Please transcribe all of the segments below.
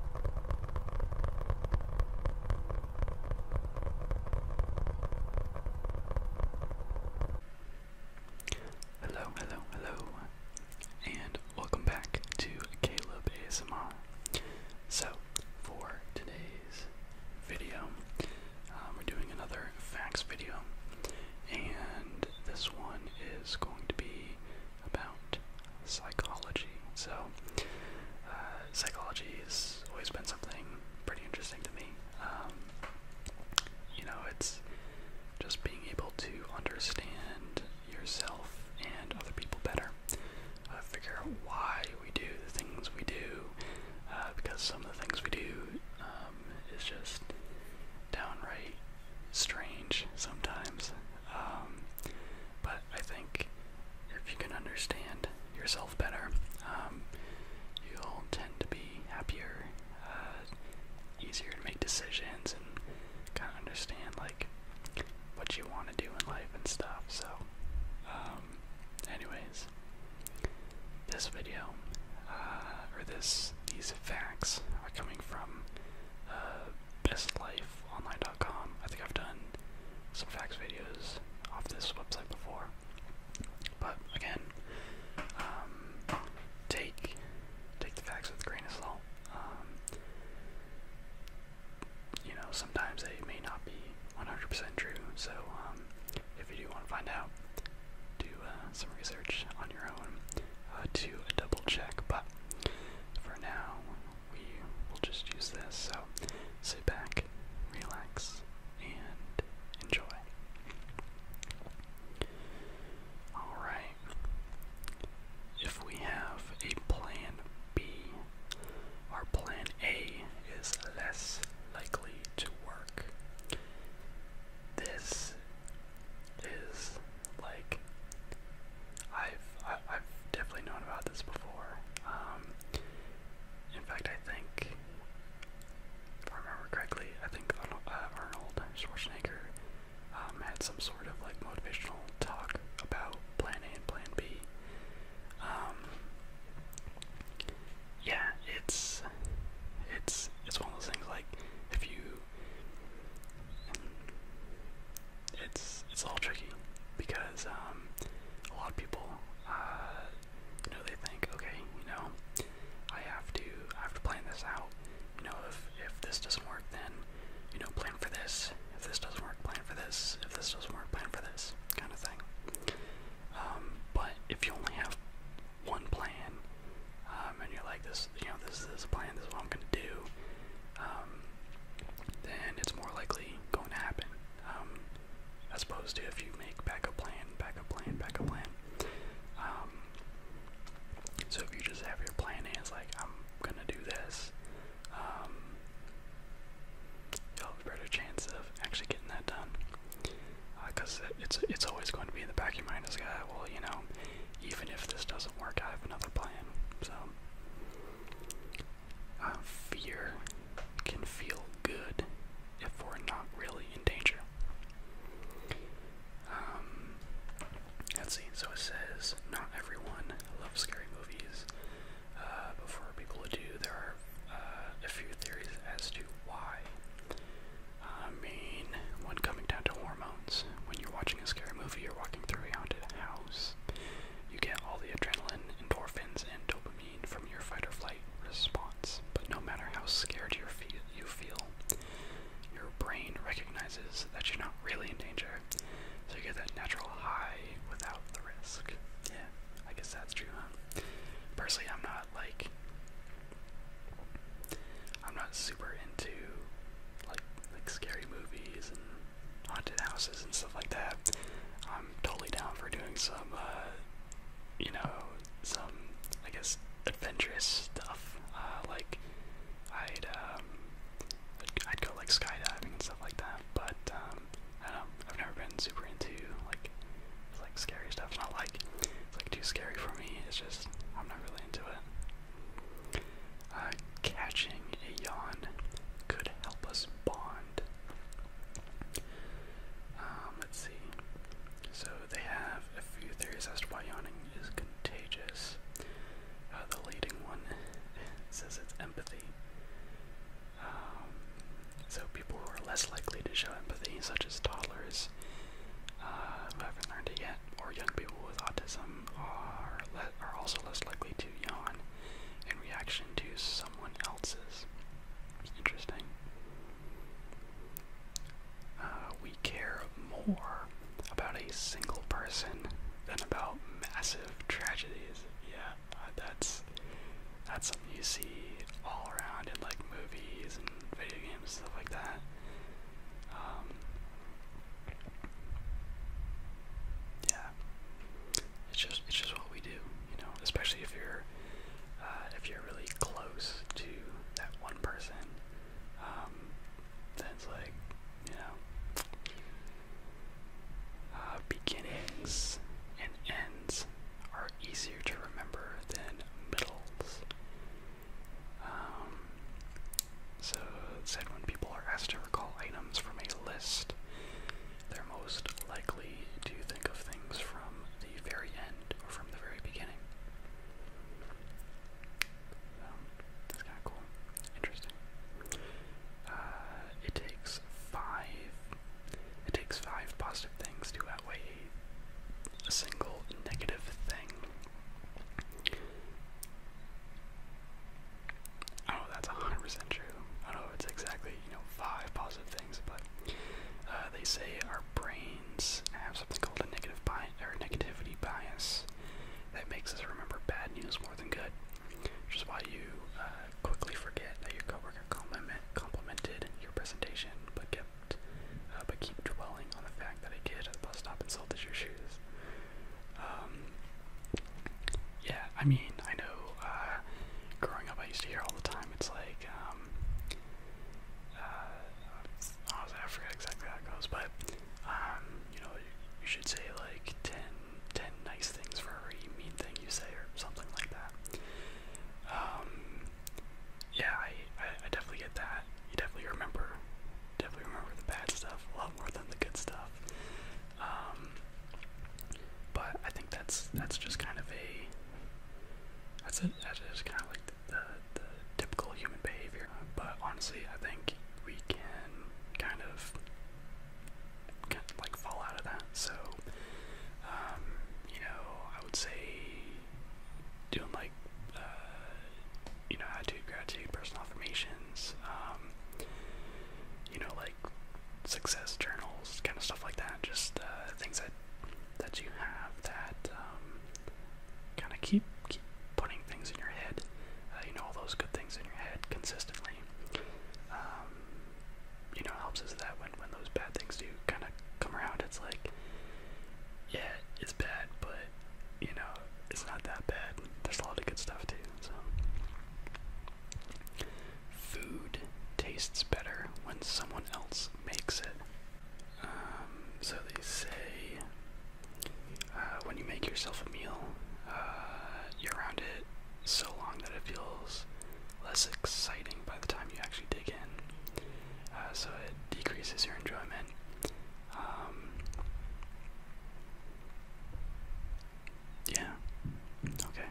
Hello, hello, hello, and welcome back to Caleb ASMR. So, for today's video, um, we're doing another facts video, and this one is going to be about psychology. So, uh, psychology has always been something pretty interesting to me. Um, you know, it's just being able to understand yourself and other people better, uh, figure out why we do the things we do, uh, because some of the things we do um, is just downright strange sometimes. Um, but I think if you can understand yourself better, um, you'll tend to be happier, uh, easier to make decisions, and kind of understand like what you want to do in life and stuff. So, um, anyways, this video uh, or this these facts are coming from. Uh, bestlifeonline.com. I think I've done some facts videos off this website before. But again, um, take take the facts with a grain of salt. Um, you know, sometimes they may not be 100% true. So um, if you do want to find out, do uh, some research on your own to uh, double check. But for now, we will just use this. So sit back, relax, and enjoy. Alright. If we have a plan B, our plan A is less likely to work. This is like I've I, have i have definitely known about this before. Um, in fact, I think if I remember correctly, I think Arnold, uh, Arnold Schwarzenegger um, had some sort of like motivational talk about Plan A and Plan B. Um, yeah, it's it's it's one of those things like if you it's it's a tricky because um, a lot of people, uh, you know, they think, okay, you know, I have to have to plan this out. You know, if if this doesn't work, then you know, plan for this. If this doesn't work, plan for this. If this doesn't work, plan for this kind of thing. Um, but if you only have one plan um, and you're like, this this, you know, this is this plan, this is what I'm gonna do, um, then it's more likely going to happen, um, as opposed to if you make backup plan, backup plan, backup plan. Um, so if you just have your plan and it's like, I'm gonna do this, um, you'll have a better chance of actually getting that done. Because uh, it's it's always going to be in the back of your mind as, like, ah, well, you know, even if this doesn't work, I have another plan. So, uh, fear can feel good if we're not really in danger. Um, let's see. So it says not everyone loves scary movies. Uh, before people who do, there are uh, a few theories as to why. I mean, when coming down to hormones, when you are watching watching scary movie, you're walking through a haunted house. You get all the adrenaline, endorphins, and dopamine from your fight or flight response. But no matter how scared you feel, you feel, your brain recognizes that you're not really in danger, so you get that natural high without the risk. Yeah, I guess that's true, huh? Personally, I'm not like I'm not super into like like scary movies and haunted houses and stuff like that. I'm totally down for doing some, uh, you know, some I guess adventurous stuff. Uh, like I'd um, I'd go like skydiving and stuff like that. But um, I don't know. I've never been super into like it's like scary stuff. It's not like it's like too scary for me. It's just I'm not really into it. Uh, catching a yawn could help us bond. Um, let's see. So they have a few theories as to why yawning is contagious. Uh, the leading one says it's empathy. Um, so people who are less likely to show empathy, such as toddlers uh, haven't learned it yet, or young people with autism, are, are also less likely to yawn in reaction to someone else's. Interesting. Uh, we care more about a single person than about massive tragedies. Yeah, uh, that's that's something you see all around in like movies and video games stuff like that. Um, yeah, it's just it's just what we do, you know. Especially if you're uh, if you're really close to that one person, um, then it's like you know uh, beginnings and ends are easier to remember than middles. Um, so it said when people are asked to recall items from a list, they're most likely to think of things from the very end or from the very beginning. Um, so, Interesting. Uh, it takes five. It takes five positive things to outweigh a single negative thing. I don't know if that's 100% true. I don't know if it's exactly, you know, five positive things, but uh, they say our brains have something called a negative bi or negativity bias that makes us remember bad news more than good, which is why you uh, quickly forget that your coworker compliment complimented your presentation, but kept uh, but keep dwelling on the fact that a kid at the bus stop insulted your shoes. Um, yeah, I mean, I know uh, growing up I used to hear all the time, it's like, um, uh, honestly, I forget exactly how it goes, but, um, you know, you, you should say like 10, 10 nice things for every mean thing you say or something like that. Um, yeah, I, I, I definitely get that. You definitely remember definitely remember the bad stuff a lot more than the good stuff. Um, but I think that's that's just kind of a that's a, that's just kind of like the, the, the typical human behavior. But honestly, I think we can kind of, kind of like fall out of that. So um, you know, I would say doing like like uh, you know attitude, gratitude, personal affirmations, um, you know like success journals, kind of stuff like that. Just uh, things that that you have that um, kind of keep keep putting things in your head. Uh, you know all those good things in your head consistently. Um, you know, it helps us that when when those bad things do kind of come around, it's like, yeah, it's bad, but you know, it's not that bad. There's a lot of good stuff too. So, food tastes better when someone else makes it. Um, so they say uh, when you make yourself a meal, uh, you're around it so long that it feels less exciting by the time you actually dig in. Uh, so it decreases your enjoyment um, yeah. Okay.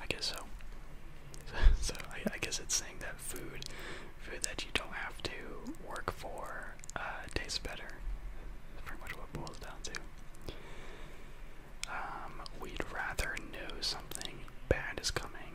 I guess so. so I, I guess it's saying that food, food that you don't have to work for, uh, tastes better. That's pretty much what it boils down to. Um, we'd rather know something bad is coming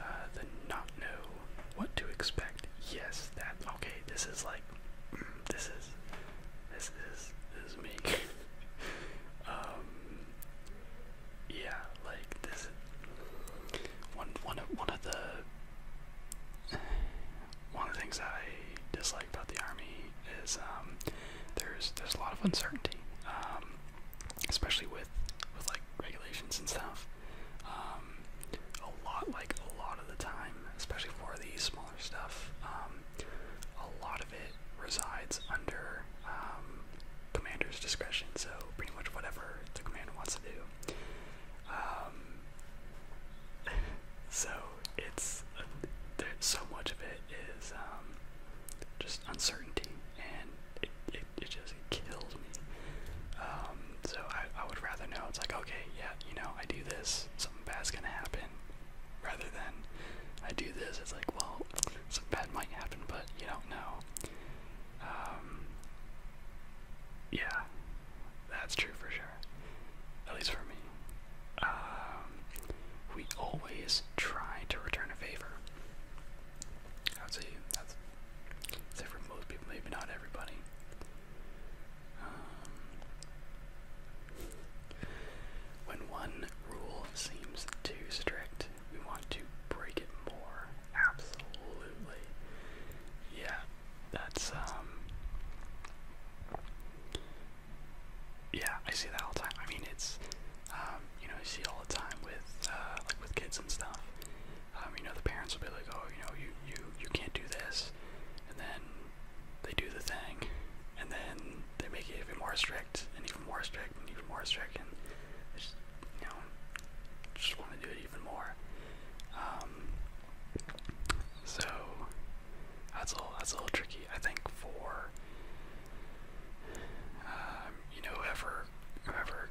uh, than not know what to expect. Yes, that okay. This is like, this is, this is, is me. um, yeah, like this. One, one of, one of the, one of the things I dislike about the army is um, there's there's a lot of uncertainty, um, especially with with like regulations and stuff. Um, um, a lot, like a lot of the time, especially for the smaller stuff, um, a lot of it resides under um, commander's discretion, so pretty much whatever the commander wants to do. so it's, so much of it is just uncertainty, and it, it just because it kills me. Um, so I, I would rather know it's like, okay, yeah, you know, I do this, something bad's gonna happen, rather than I do this, it's like, well, something bad might happen, but you don't know. Um, yeah, that's true for sure. At least for me. Um, we always try to return a favor. I would say that's Except for most people, maybe not everybody. Um, when one rule seems too strict, we want to break it more. Absolutely. Yeah, that's, um, yeah, I see that all the time. I mean, it's, um, you know, I see all the time with, uh, with kids and stuff. Um, you know, the parents will be like, "Oh, you know, you you you can't do this," and then they do the thing, and then they make it even more strict, and even more strict, and even more strict, and just you know, just want to do it even more. Um, so that's a little, that's a little tricky, I think, for um, you know whoever whoever whoever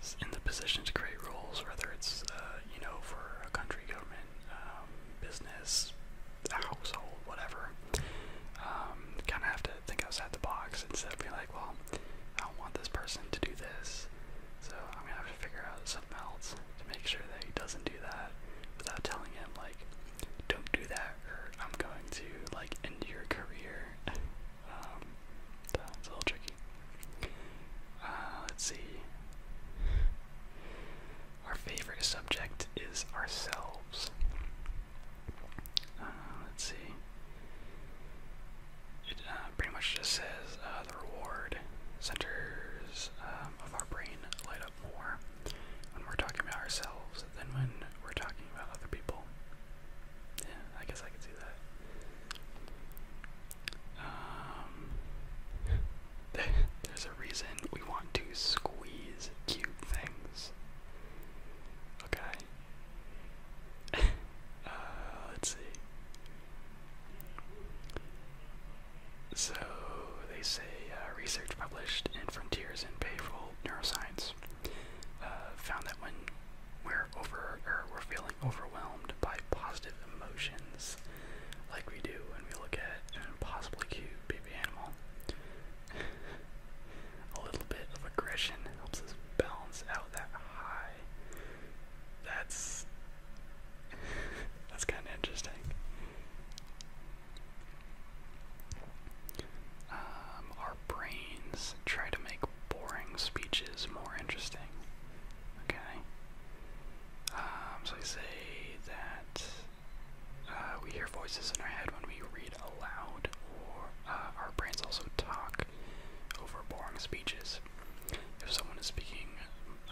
is in the position to create rules, whether it's uh, you know for a country, government, um, business, a household, whatever, um, kind of have to think outside the box instead of being like, well, I don't want this person to do this, so I'm gonna have to figure out something else to make sure that he doesn't do that without telling him like, don't do that, or I'm going to like end your career. Um, so it's a little tricky. Uh, let's see. Our favorite subject is ourselves. Uh, let's see. It uh, pretty much just says the reward centers um, of our brain light up more when we're talking about ourselves than when we're talking about other people. Yeah, I guess I could see that. Um, there's a reason we want to squeeze cute things. Okay. uh, let's see. So, they say uh, research published in Frontiers in Behavioral Neuroscience uh, found that when we're we're over we're feeling overwhelmed by positive emotions like we do when we look at an impossibly cute baby animal. a little bit of aggression helps us balance out that high. That's that's kind of interesting. Um, our brains try to make boring speeches more interesting. Okay? Um, so I say that uh, we hear voices in our head when we read aloud, or uh, our brains also talk over boring speeches. If someone is speaking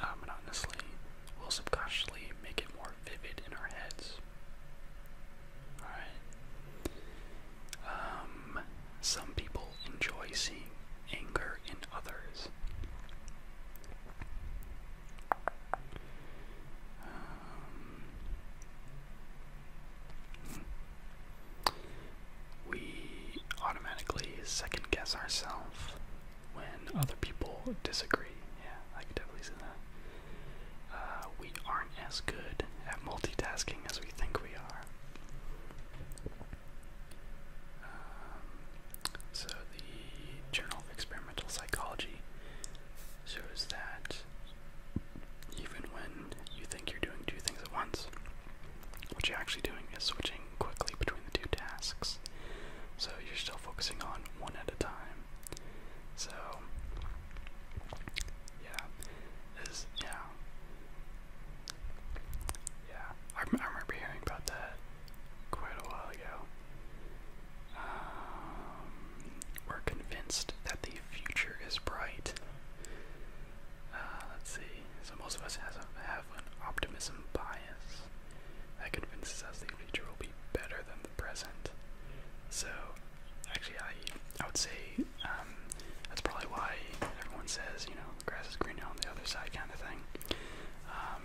uh, monotonously, we'll subconsciously make it more vivid in our heads. Alright? Um, some people enjoy seeing anger in others. Um, we automatically second guess ourselves when other people disagree. Yeah, I can definitely see that. Uh, we aren't as good at multitasking as we think we are. Um, so the Journal of Experimental Psychology shows that even when you think you're doing two things at once, what you're actually doing is switching quickly between the two tasks. So you're still focusing on one at a time. So yeah, this yeah, yeah, I, remember hearing about that quite a while ago. Um, we're convinced that the future is bright. Uh, let's see. So most of us have an optimism bias that convinces us the future will be better than the present. So, actually, I I would say um, that's probably why everyone says, you know, the grass is greener on the other side kind of thing. Um,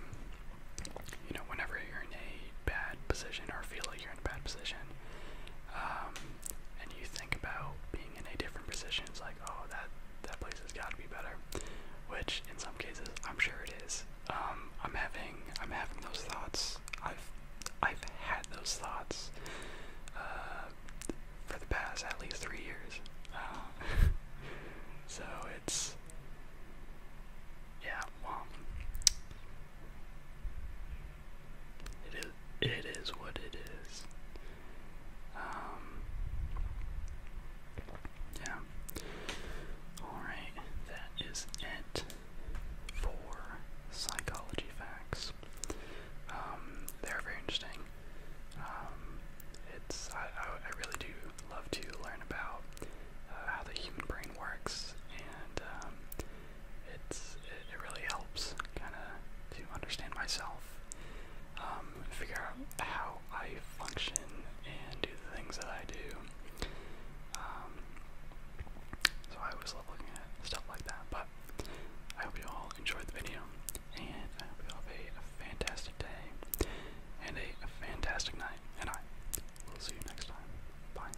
you know, whenever you're in a bad position or feel like you're in a bad position, um, and you think about being in a different position, it's like, oh, that, that place has got to be better, which in some cases, I'm sure it is. I'm having, I'm having those thoughts. I've, I've had those thoughts, uh, for the past at least three years. Uh, so it's yeah, well, it is it is what it is. Um, yeah. All right, that is it for psychology facts. Um, they're very interesting. Um, it's I, I, really do love to learn about uh, how the human brain works, and um, it's it, really helps kind of to understand myself, um, figure out how I function and do the things that I do. Um, so I always love looking at stuff like that, but I hope you all enjoyed the video, and I hope you all have a fantastic day and a fantastic night, and I will see you next time. Bye.